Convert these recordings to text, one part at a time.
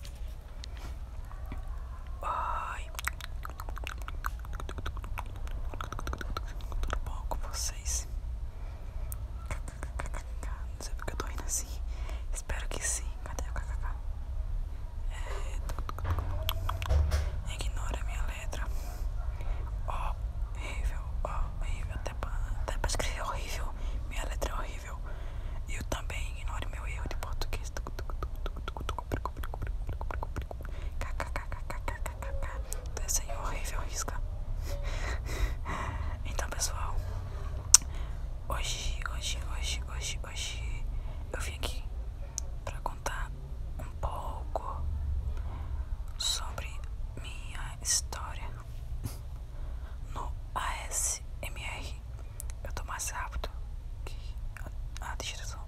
Oi, tudo bom com vocês? Não sei porque eu tô rindo assim. Espero que sim. Cadê o kkk? É... Ignora minha letra. Horrível, horrível. Até pra, até pra escrever horrível. Minha letra é horrível. E eu também ignoro meu erro de português. Desenho horrível, risca. Então, pessoal, hoje, hoje, hoje, hoje, hoje eu vim aqui para contar um pouco sobre minha história no ASMR eu tô mais rápido que a, descrição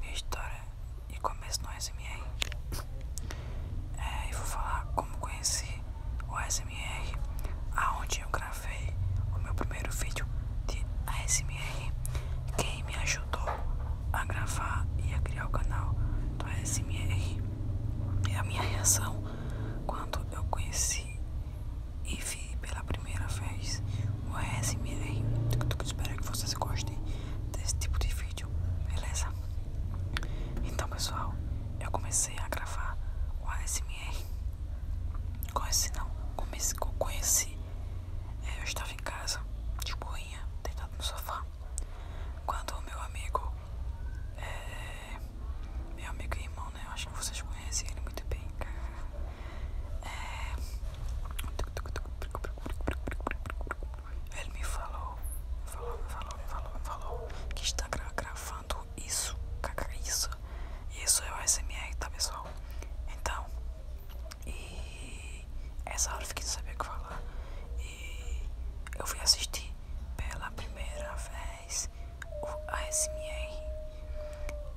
Minha história e começo no ASMR. É, e vou falar como conheci o ASMR, aonde eu gravei o meu primeiro vídeo de ASMR, quem me ajudou a gravar e a criar o canal do ASMR. e é a minha reação quando eu conheci e vi pela primeira vez o ASMR. Espero que vocês gostem desse tipo de vídeo, beleza? Então, pessoal, eu comecei a gravar o ASMR. Conheci, não, comecei, é, Eu estava em casa, de boinha, deitado no sofá. Quando o meu amigo é, meu amigo e irmão, né? Eu acho que vocês conhecem ele muito bem. É... Ele me falou, falou, falou, falou, falou que está gravando isso, isso, isso é o ASMR, tá pessoal? Então, e essa hora eu fiquei sabendo o que falar. E eu fui assistir pela primeira vez o ASMR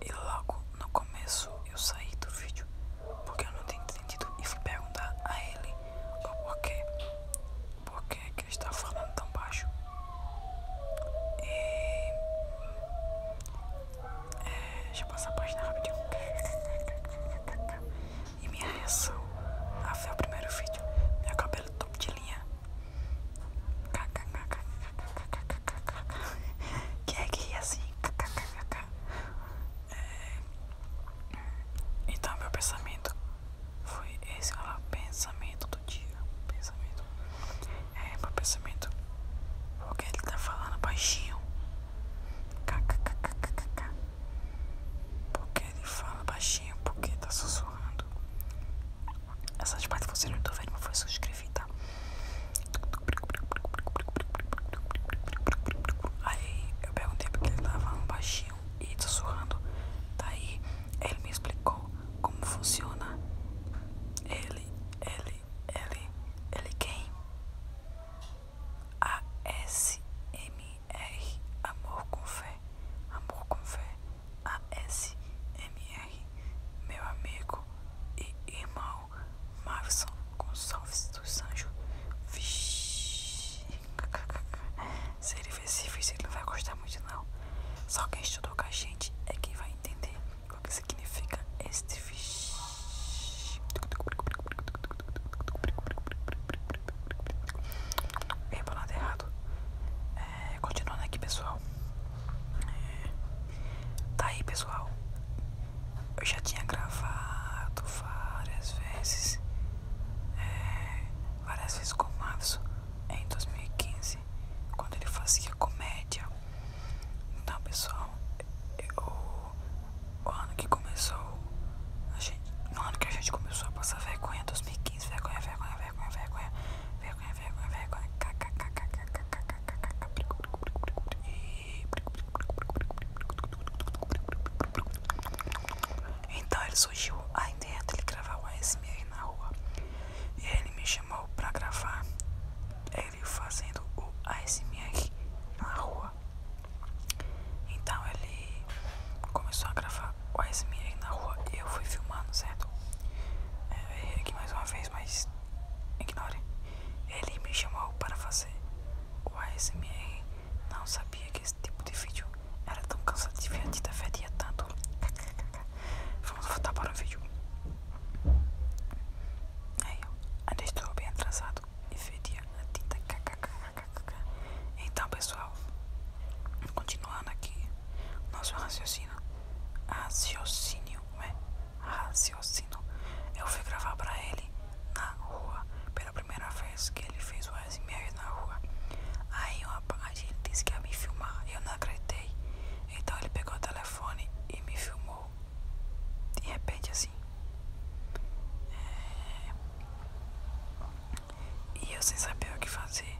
e logo no começo eu saí do vídeo porque eu não tinha entendido e fui perguntar a ele o porquê, porquê que ele é estava falando tão baixo e é, deixa eu passar a página rapidinho e minha reação a ver o primeiro vídeo, meu cabelo top de linha que é que assim é... então meu pensamento foi esse lá pensamento do dia pensamento é meu pensamento porque ele tá falando baixinho porque ele fala baixinho porque tá sussurrando essas partes funcionam não estão vendo, mas foi só escrevi, tá? Aí eu perguntei porque ele tava falando baixinho e tá sussurrando. Daí ele me explicou como funciona. Ele, ele, ele, ele quem? A S M R Amor com fé. Amor com fé a s m r meu amigo e irmão Marson Gonçalves dos Sanjos. Se ele ver esse vídeo, ele não vai gostar muito não. Só quem estudou com a gente é quem vai entender o que significa este vídeo. Bem, errado. É, é, continuando aqui, pessoal. É, tá aí, pessoal. Eu já tinha gravado várias vezes. É, várias vezes com o Mavso em 2015, quando ele fazia comédia. Então, pessoal, o ano que começou. A gente, no ano que a gente começou a passar vergonha, 2015, vergonha, vergonha, vergonha, vergonha. Então ele surgiu a ideia dele gravar o ASMR na rua. E ele me chamou pra gravar ele fazendo o ASMR na rua. Então ele começou a gravar o as na rua eu fui filmando, certo? É, aqui mais uma vez, mas ignore. Ele me chamou para fazer o ASMR. Não sabia que esse tipo de vídeo era tão cansativo e a tita fedia tanto. Vamos voltar para o vídeo. Aí, ó, ainda estou bem atrasado e fedia a tinta. Então, pessoal, continuando aqui. O nosso raciocínio, raciocínio, é? Raciocínio. Eu fui gravar pra ele na rua, pela primeira vez que ele fez o ASMR na rua. Aí a ele disse que ia me filmar, eu não acreditei. Então ele pegou o telefone e me filmou. De repente, assim. É... E eu sem saber o que fazer.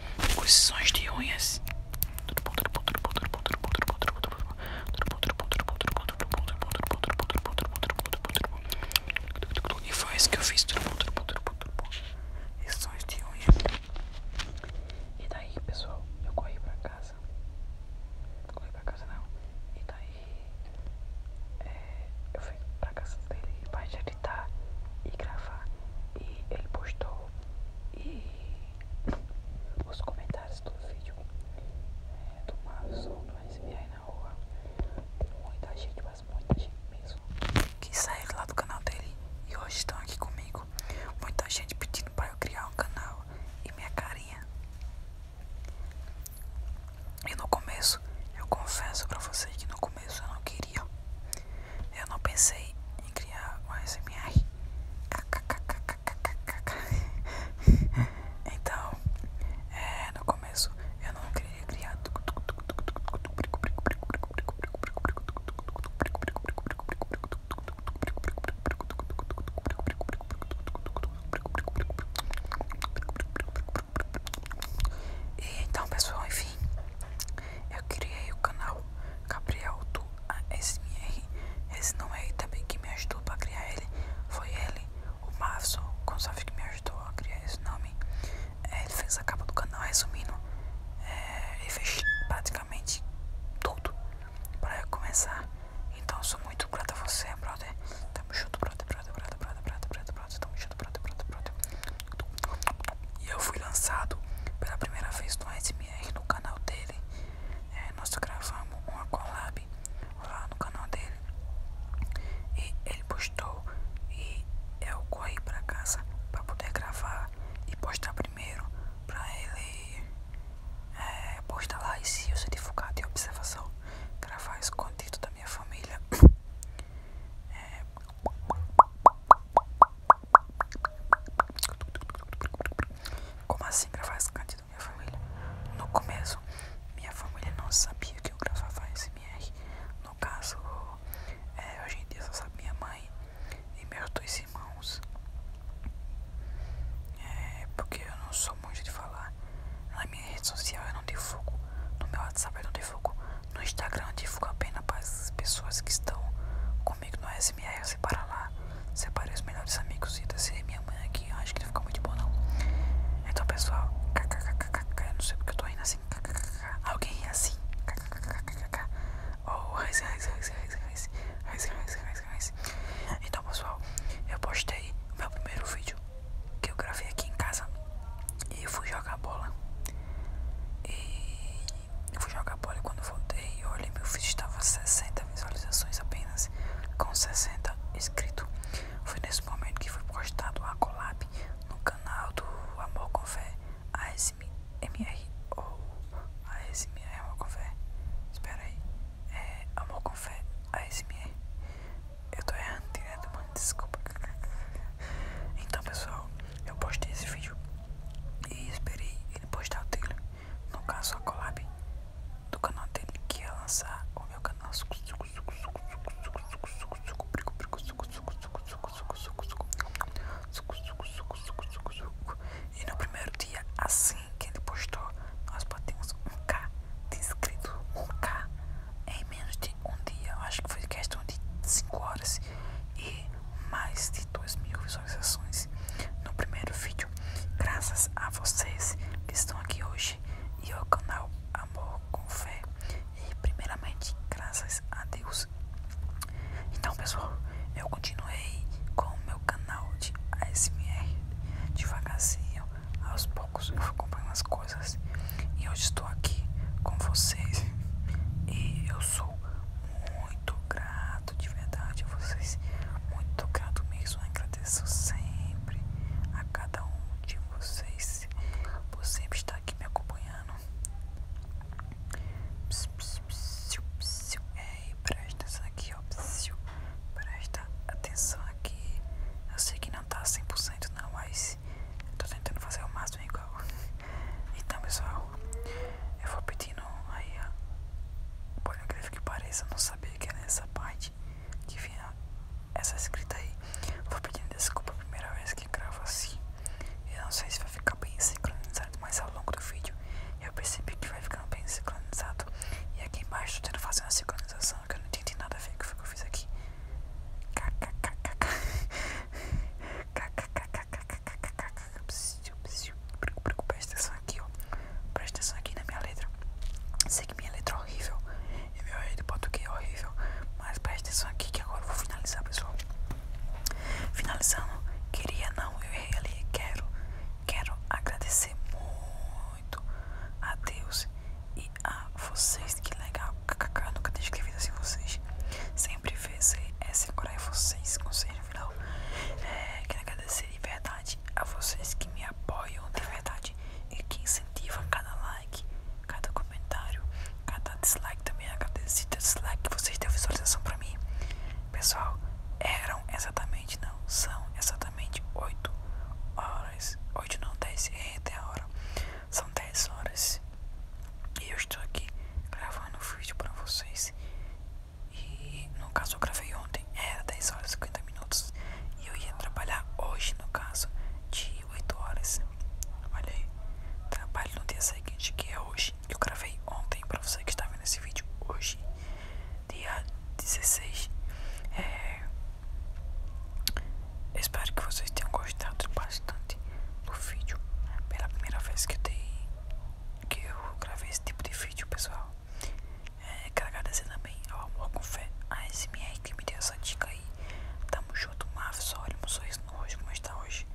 coisões de unhas. E foi isso que eu fiz. Coisões de unhas. E daí, pessoal, eu corri pra casa. Corri pra casa não. E daí, eu fui pra casa dele e pai já editar e gravar. E ele postou e os comentários do vídeo é, do Márcio nós aí na rua. Muita gente, mas muita gente mesmo. Que saíram lá do canal dele e hoje estão aqui comigo. Muita gente pedindo para eu criar um canal e minha carinha. E no começo, eu confesso para vocês que no começo eu não queria. Eu não pensei em criar um ASMR. Então, no começo eu não queria criar. E então, pessoal, enfim, eu criei o canal Gabriel do ASMR. Esse nome é também que me ajudou para criar ele. Foi ele, o Márcio Gonçalves, que me ajudou a criar esse nome. É, ele fez a capa do canal, resumindo, é, ele fez praticamente tudo para começar. Então sou muito grato a você, brother. Tamo junto, brother, brother, brother, brother. brother pronto, estamos juntos, pronto, pronto, E eu fui lançado pela primeira vez no ASMR no canal dele. É, nós gravamos uma collab lá no canal dele. E ele postou e eu corri pra casa pra poder gravar e postar primeiro pra ele é, postar lá e se o certificado de observação gravar escondido da minha família. É, como assim gravar escante da minha família? No começo, minha família não sabia que eu gravava SMR. No caso, é, hoje em dia só sabe minha mãe e meus dois irmãos. É, porque eu não sou muito de falar. Na minha rede social eu não divulgo. No meu WhatsApp eu não divulgo. No Instagram eu divulgo apenas para as pessoas que estão comigo no SMR. Você para lá, separe os melhores amigos e descer minha mãe aqui. acho que não ficou muito bom, não. Então, pessoal, kkkk, eu não sei porque eu tô rindo assim. alguém ri assim. Então, pessoal, eu postei o meu primeiro vídeo que eu gravei aqui em casa. E fui jogar bola. E fui jogar bola e quando voltei, eu olhei meu vídeo estava 60 visualizações apenas, com 60 inscritos. Foi nesse momento que foi postado a collab no canal do Amor com Fé, ASMR ou ASMR Amor com Fé. Espera aí, é Amor com Fé, ASMR. Eu tô errando direto, mano, desculpa. Então, pessoal eu postei esse vídeo e esperei ele postar o dele, no caso a colab do canal dele que ia lançar o meu canal suco suco suco suco suco suco suco suco suco brico brico suco suco suco suco suco suco suco suco suco e no primeiro dia assim que ele postou nós batemos um k de inscritos um k em menos de um dia, acho que foi questão de 5 horas e mais de 2 mil visualizações no primeiro vídeo. Graças a vocês que estão aqui hoje e ao canal Amor com Fé. E primeiramente, graças a Deus. Então, pessoal, eu continuei com o meu canal de ASMR devagarzinho, aos poucos eu acompanho as coisas. E hoje estou aqui com vocês. E eu sou muito grato, de verdade, a vocês. Muito grato mesmo. Agradeço sempre a cada um de vocês por sempre estar aqui me acompanhando. Pss, é, presta atenção aqui, ó. presta atenção aqui. Eu sei que não tá 100% não, mas estou tentando fazer o máximo. É então pessoal, eu vou pedindo aí a pornografia que pareça, não sabia que era essa parte que vinha essa escrita aí. Vou pedindo desculpa a primeira vez que gravo assim. Eu não sei se vai ficar bem sincronizado, mas ao longo do vídeo eu percebi que vai ficando bem sincronizado. E aqui embaixo eu tento fazer uma sincronização que eu não entendi nada a ver com o que eu fiz aqui. Presta atenção aqui, ó. Presta atenção aqui na minha letra. Sei que minha letra é horrível. E meu jeito de português é horrível. Mas presta atenção aqui que agora eu vou finalizar, pessoal. Finalizando, queria não, eu errei ali. Quero, quero agradecer muito a Deus e a ah, vocês, que legal. KKK, nunca tinha escrevido assim vocês. Sempre VCS, agora é vocês, conselho no final. É, quero agradecer de verdade a vocês que me apoiam de verdade e que incentivam cada like, cada comentário, cada dislike também. Agradecido deslike que vocês deu visualização pra mim. Pessoal, eram exatamente, não, são exatamente 8 horas. 8 não, 10 é até a hora. São 10 horas e eu estou aqui gravando o vídeo para vocês. E no caso eu gravei ontem, era 10 horas e 50 minutos. E eu ia trabalhar hoje, no caso, de 8 horas. Olha aí, trabalho no dia seguinte, que é hoje. Eu gravei ontem para você que está vendo esse vídeo hoje, dia 16. Espero que vocês tenham gostado bastante do vídeo. Pela primeira vez que eu, gravei esse tipo de vídeo, pessoal. É, quero agradecer também ao Amor com Fé, a SMR que me deu essa dica aí. Tamo junto, Maf. Olha um sorriso no rosto como está hoje.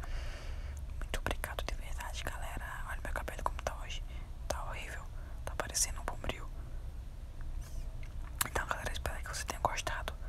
Muito obrigado de verdade, galera. Olha meu cabelo como está hoje. Está horrível. Está parecendo um bombril. Então, galera, espero que vocês tenham gostado.